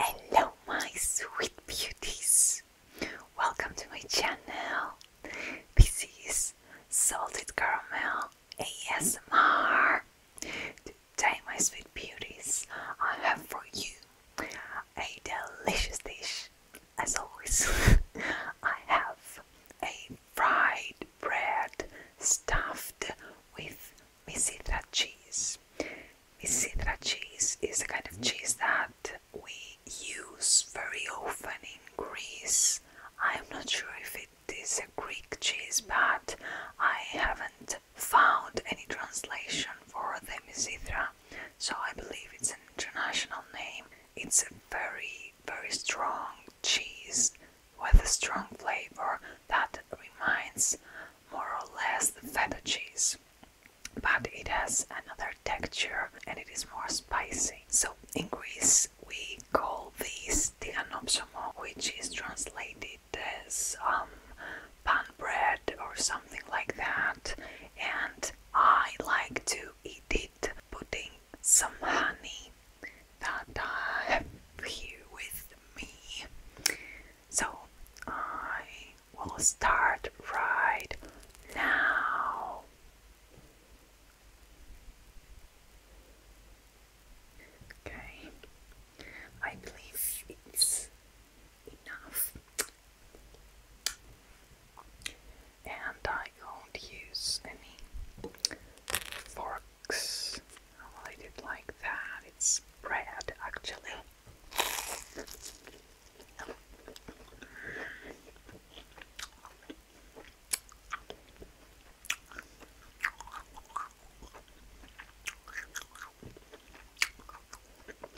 Hello, my sweet beauties! Welcome to my channel. This is Salted Caramel ASMR. Today, my sweet beauties, I have for you a delicious dish as always, I have a fried bread stuffed with misithra cheese. Misithra cheese is a kind of mm-hmm. cheese that we use very often in Greece. I'm not sure if it is a Greek cheese, but I haven't found any translation for the misithra so I believe it's an international name. It's a very, very strong cheese with a strong flavor that reminds more or less the feta cheese, but it has another texture and it is more spicy. So in Greece, we call this tiganopsomo, which is translated as um, pan bread or something like that, and I like to eat it putting some honey that I have here with me. So I will start right now. Okay, I believe it's enough. And I won't use any forks. Oh, I'll let like that. It's bread actually.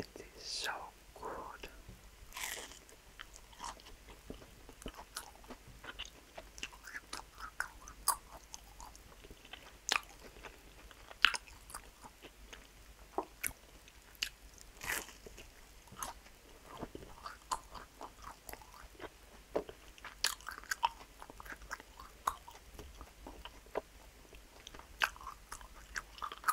It is so good.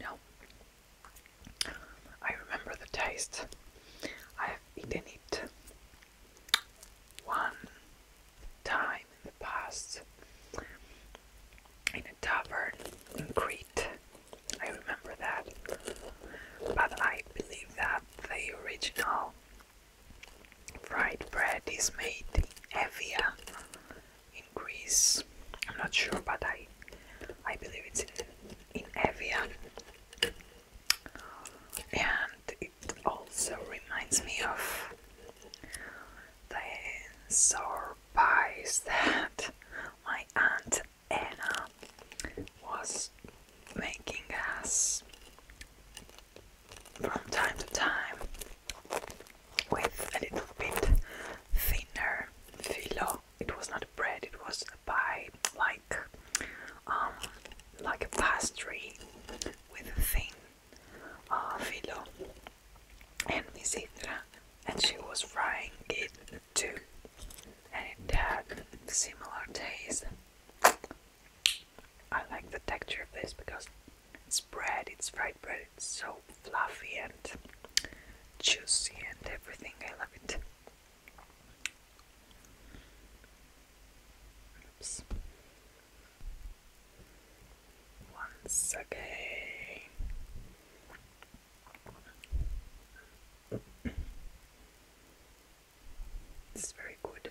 No, I remember the taste. I've eaten it one time in the past in a tavern in Crete. I remember that. But I believe that the original fried bread is made in Evia in Greece. I'm not sure, but I I believe it's in, in Evia. And it also reminds me of the sour pies that my aunt Anna was making us from time to time with a little bit thinner filo. It was not bread, it was a pie like um, like a pastry with a thin uh, Philo and Misindra, and she was frying it too, and it had similar taste. I like the texture of this because it's bread, it's fried bread, it's so fluffy and juicy and everything. I love it once again. this is very good.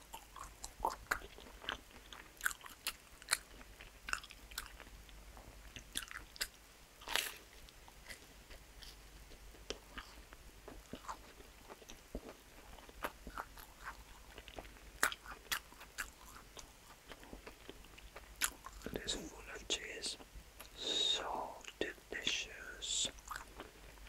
It is full of cheese, so delicious.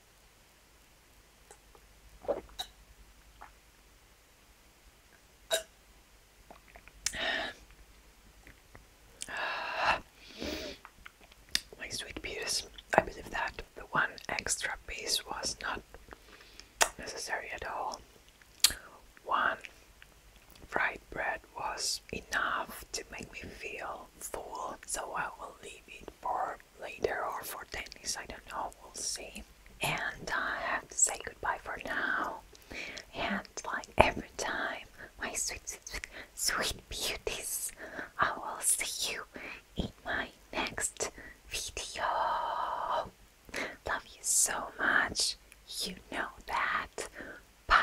My sweet peas, I believe that the one extra piece was not necessary at all. One fried bread was enough to make me feel full, so I will leave it for later or for tennis. I don't know, we'll see. And I have to say goodbye for now. And like every time, my sweet, sweet, sweet beauties, I will see you in my next video. Love you so much. You know that. Bye.